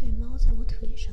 对，猫在我腿上。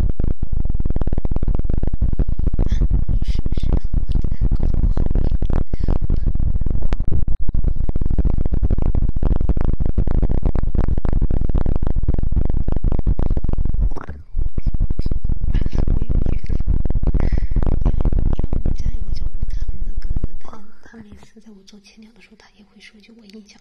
你试试搞得我后面，我，有时候因为因为我们家有个叫吴谈的哥哥，他他每次在我做祈祷的时候，他也会说一句我印象。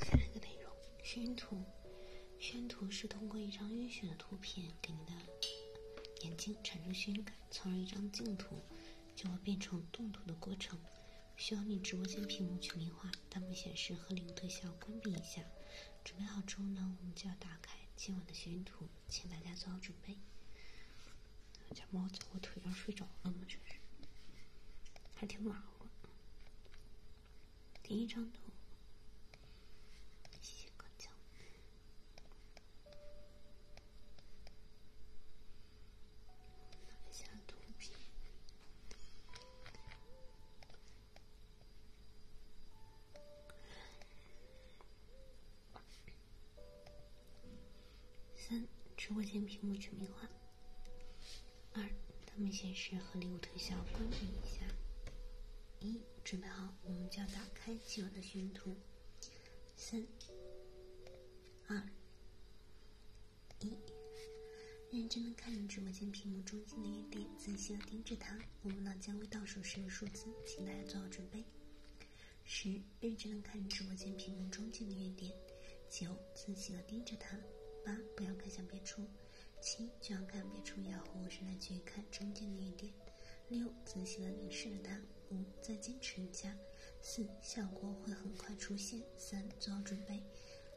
下一个内容，云图。宣图是通过一张晕眩的图片给你的眼睛产生眩感，从而一张静图就会变成动图的过程。需要你直播间屏幕去名画，弹幕显示和零特效关闭一下。准备好之后呢，我们就要打开今晚的宣图，请大家做好准备。我家猫在我腿上睡着了吗？这是，还挺暖和。第一张图，谢谢刚江。三，直播间屏幕全民换。二。他们显示和礼物特效，关闭一下。一准备好，我们就要打开今晚的宣图。三、二、一，认真的看着直播间屏幕中间的圆点，仔细的盯着它。我们呢将会倒数十个数字，请大家做好准备。十，认真的看着直播间屏幕中间的圆点。九，仔细的盯着它。八，不要看向别处。七，就要看别处咬合是来去看中间的一点。六，仔细的凝视着它。五，再坚持一下。四，效果会很快出现。三，做好准备。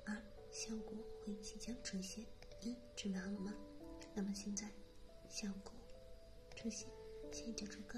二，效果会即将出现。一，准备好了吗？那么现在，效果出现，请就手高。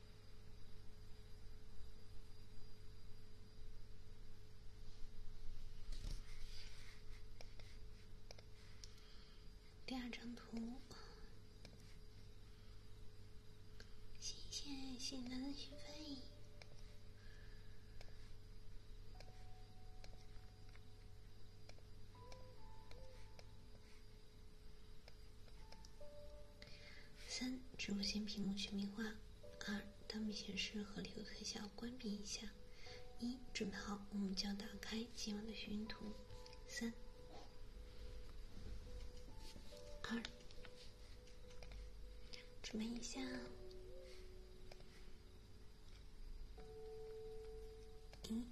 第二张图，谢谢新来的许飞。三，直播间屏幕全民化；二，当幕显示和礼物特效关闭一下；一，准备好，我们要打开今晚的寻图。三，二，准备一下，一，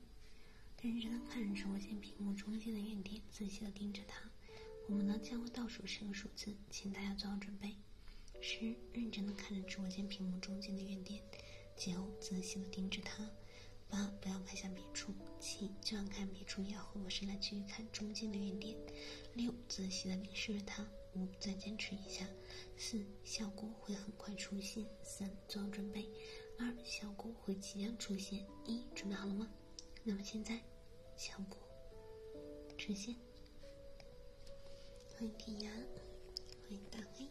认真的看直播间屏幕中间的亮点，仔细的盯着它。我们呢将会倒数十个数字，请大家做好准备。十，认真的看着直播间屏幕中间的圆点。九，仔细的盯着它。八，不要看向别处。七，就算看别处也要回过身来续看中间的圆点。六，仔细的凝视着它。五，再坚持一下。四，效果会很快出现。三，做好准备。二，效果会即将出现。一，准备好了吗？那么现在。效果呈现。欢迎天涯，欢迎大黑。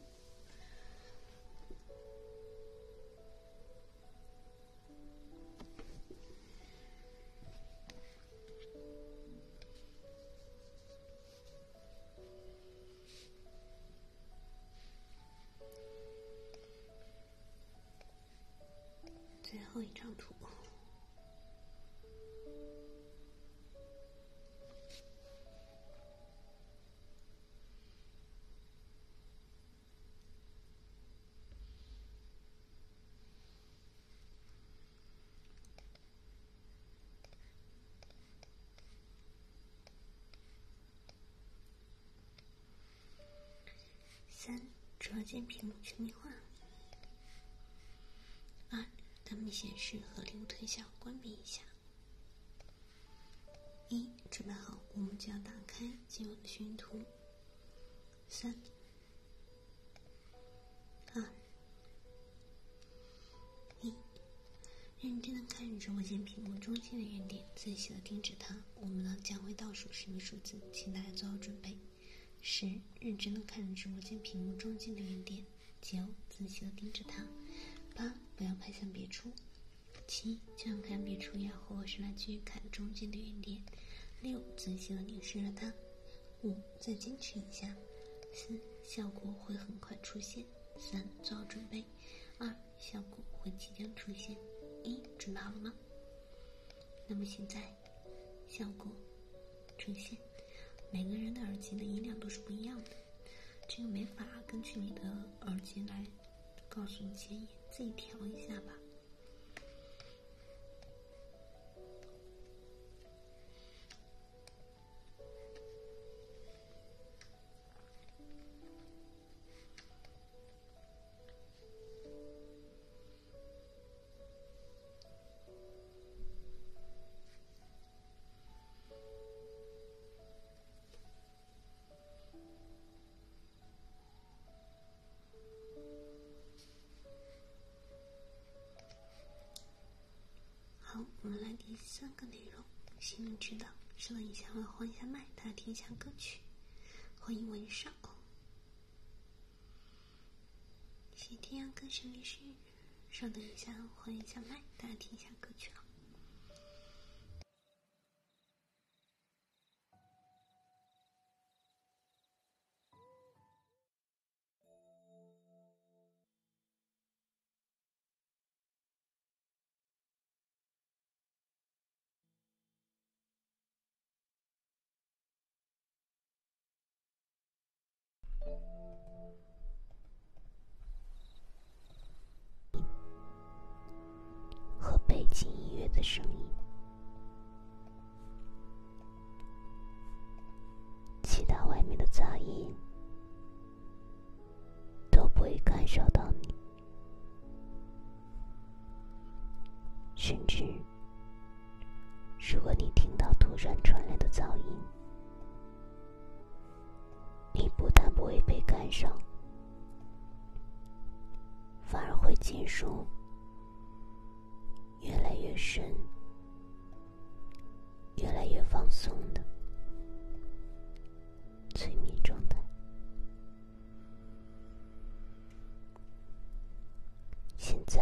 最后一张图。三，直播屏幕全民化。二，弹幕显示和物退效，关闭一下。一，准备好，我们就要打开今晚的寻图。三，二，一，认真的看着直播间屏幕中间的圆点，仔细的盯着它。我们呢，将会倒数十个数字，请大家做好准备。十，认真的看着直播间屏幕中间的圆点。九，仔细的盯着它。八，不要拍向别处。七，就像看别处和或是来去看中间的圆点。六，仔细的凝视了它。五，再坚持一下。四，效果会很快出现。三，做好准备。二，效果会即将出现。一，准备好了吗？那么现在。效果呈现，每个人的耳机的音量都是不一样的，这个没法根据你的耳机来告诉你建议，自己调一下吧。好，我们来第三个内容：心灵之道。稍等一下，我换一下麦，大家听一下歌曲。欢迎文少。《喜天阳》歌声面师，稍等一下，换一下麦，大家听一下歌曲啊。和背景音乐的声音，其他外面的杂音都不会感受到你。甚至，如果你听到突然传来的噪音，你不但不会被干扰，反而会进入越来越深、越来越放松的催眠状态。现在，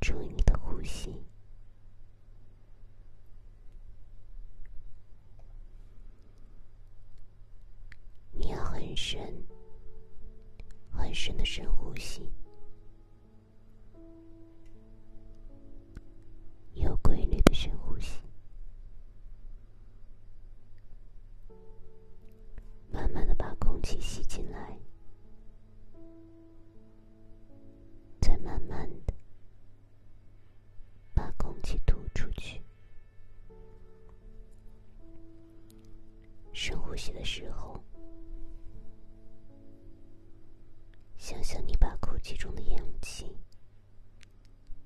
注意你的呼吸。你要很深、很深的深呼吸，有规律的深呼吸。慢慢的把空气吸进来，再慢慢的把空气吐出去。深呼吸的时候，想象你把空气中的氧气。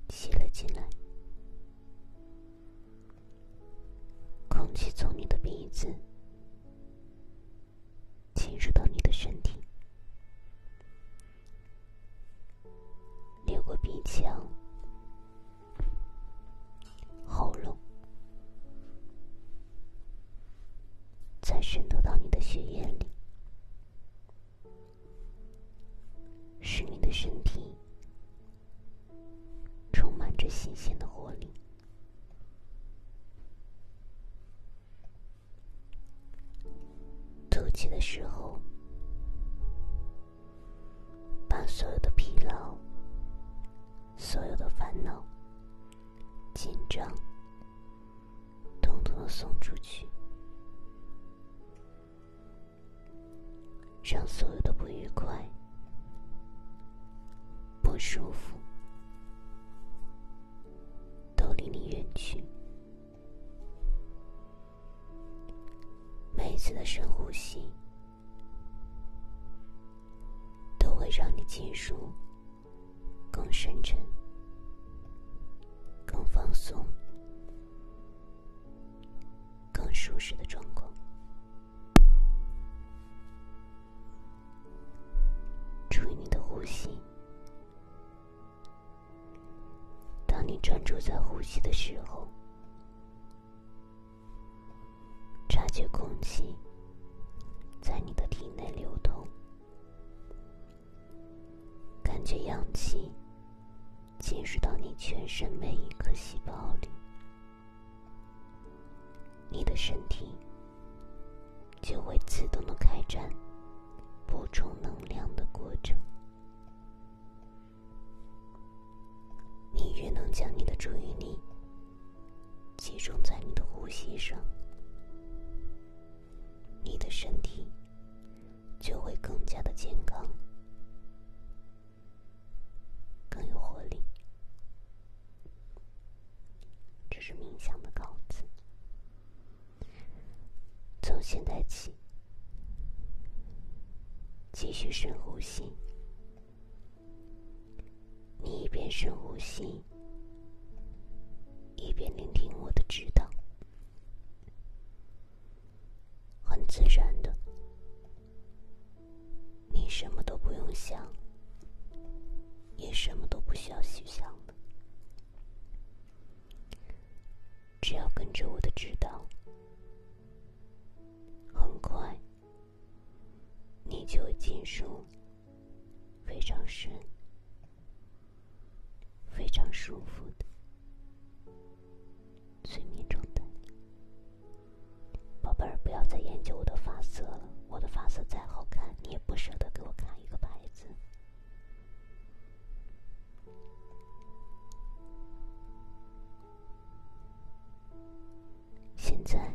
吸了进来，空气从你的鼻子侵入到你的身体，流过鼻腔、喉咙，再渗透到你的血液里，使你的身体。充满着新鲜的活力，吐气的时候，把所有的疲劳、所有的烦恼、紧张，统统送出去。让所有的不愉快、不舒服都离你远去。每一次的深呼吸都会让你进入更深沉、更放松。更舒适的状况。注意你的呼吸。当你专注在呼吸的时候，察觉空气在你的体内流动，感觉氧气。进入到你全身每一颗细胞里，你的身体就会自动的开展补充能量的过程。你越能将你的注意力集中在你的呼吸上，你的身体。就会更加的健康，更有活力。这是冥想的稿子，从现在起，继续深呼吸。你一边深呼吸，一边聆听我的指导。很自然的，你什么都不用想，也什么都不需要去想，只要跟着我的指导，很快你就会进入非常深、非常舒服的。催眠状态，宝贝儿，不要再研究我的发色了。我的发色再好看，你也不舍得给我看一个牌子。现在，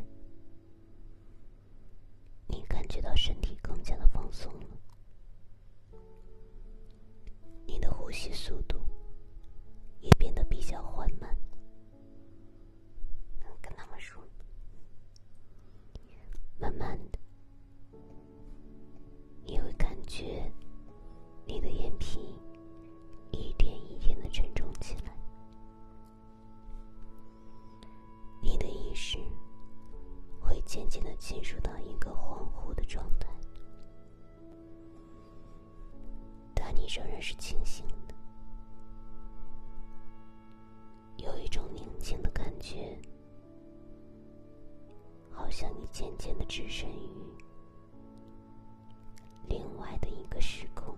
你感觉到身体更加的放松了。你的呼吸速度也变得比较缓慢，跟他们说，慢慢的，你会感觉你的眼皮一点一点的沉重起来，你的意识会渐渐的进入到一个恍惚的状态。但你仍然是清醒的，有一种宁静的感觉，好像你渐渐的置身于另外的一个时空，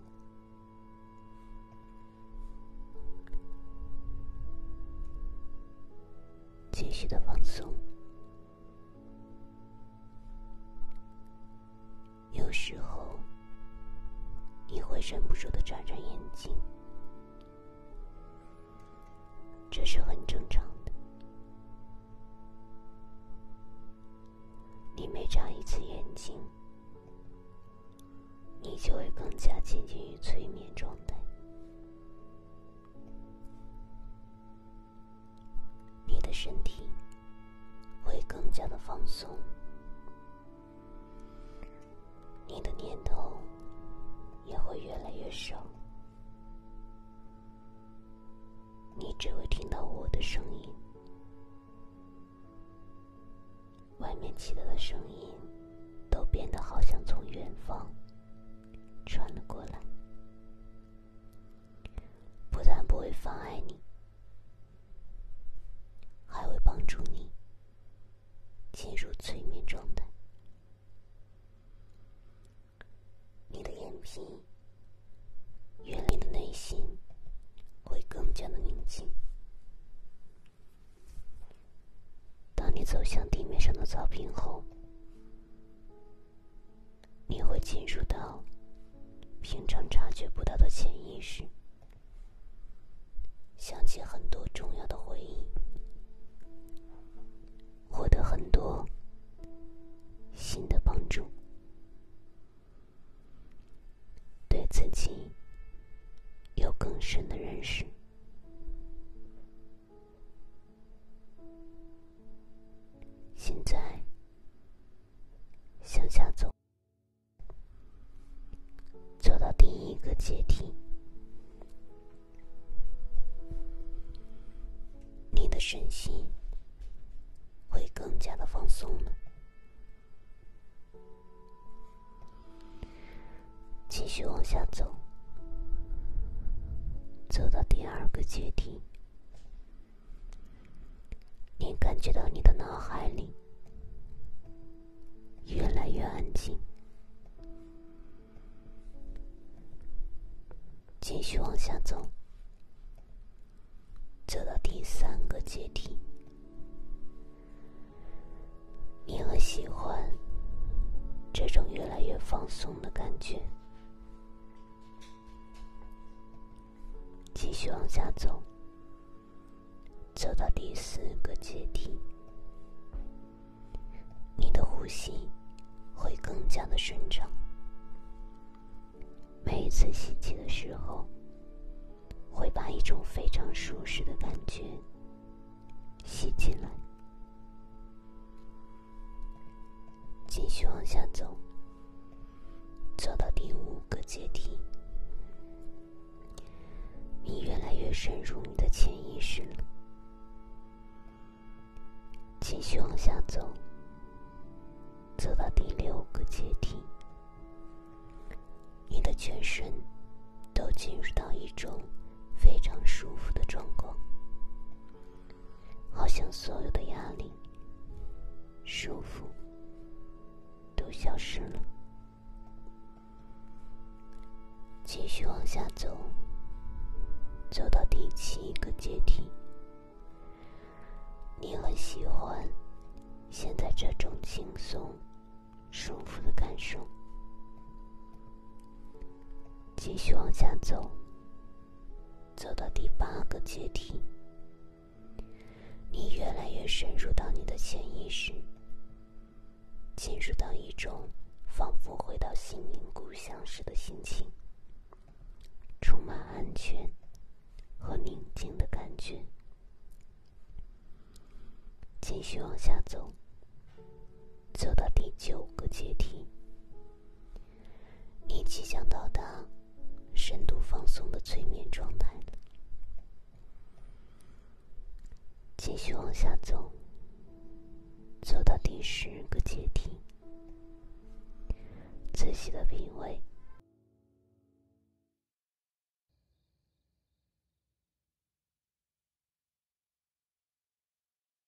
继续的放松。有时候，你会忍不住的眨眨眼睛，这是很正常的。你每眨一次眼睛，你就会更加接近于催眠状态。你的身体会更加的放松，你的念头也会越来越少，你只会听到我的声音，外面其他的声音都变得好像从远方传了过来。不但不会妨碍你，还会帮助你进入催眠状态。你的眼皮、远离的内心会更加的宁静。当你走向地面上的草坪后，你会进入到平常察觉不到的潜意识，想起很多重要的回忆，获得很多新的帮助，对自己有更深的认识。现在向下走，走到第一个阶梯，你的身心会更加的放松了。继续往下走，走到第二个阶梯。你感觉到你的脑海里越来越安静，继续往下走，走到第三个阶梯，你很喜欢这种越来越放松的感觉。继续往下走，走到第四个阶梯，你的呼吸会更加的顺畅。每一次吸气的时候，会把一种非常舒适的感觉吸进来。继续往下走，走到第五个阶梯，你越来越深入你的潜意识了。继续往下走，走到第六个阶梯，你的全身都进入到一种非常舒服的状况。好像所有的压力、束缚都消失了。继续往下走，走到第七个阶梯。你很喜欢现在这种轻松、舒服的感受。继续往下走。走到第八个阶梯，你越来越深入到你的潜意识，进入到一种仿佛回到心灵故乡时的心情，充满安全和宁静的感觉。继续往下走，走到第九个阶梯。你即将到达深度放松的催眠状态了，继续往下走，走到第十个阶梯，仔细的品味。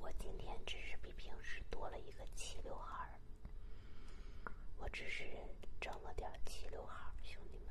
我今天只是比平时多了一个齐刘海我只是整了点齐刘海兄弟们。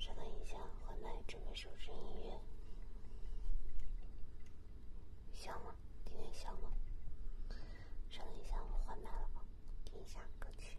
稍等一下，换麦准备收听音乐，响吗？听得响吗？稍等一下，我换麦了，听一下歌曲。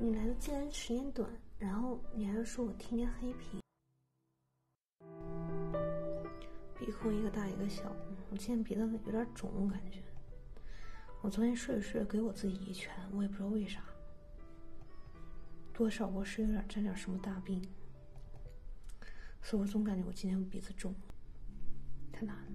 你来的竟然时间短，然后你还要说我天天黑屏。鼻孔一个大一个小，我今天鼻子有点肿，感觉。我昨天睡着睡着给我自己一拳，我也不知道为啥。多少我是有点沾点什么大病，所以我总感觉我今天鼻子肿，太难了。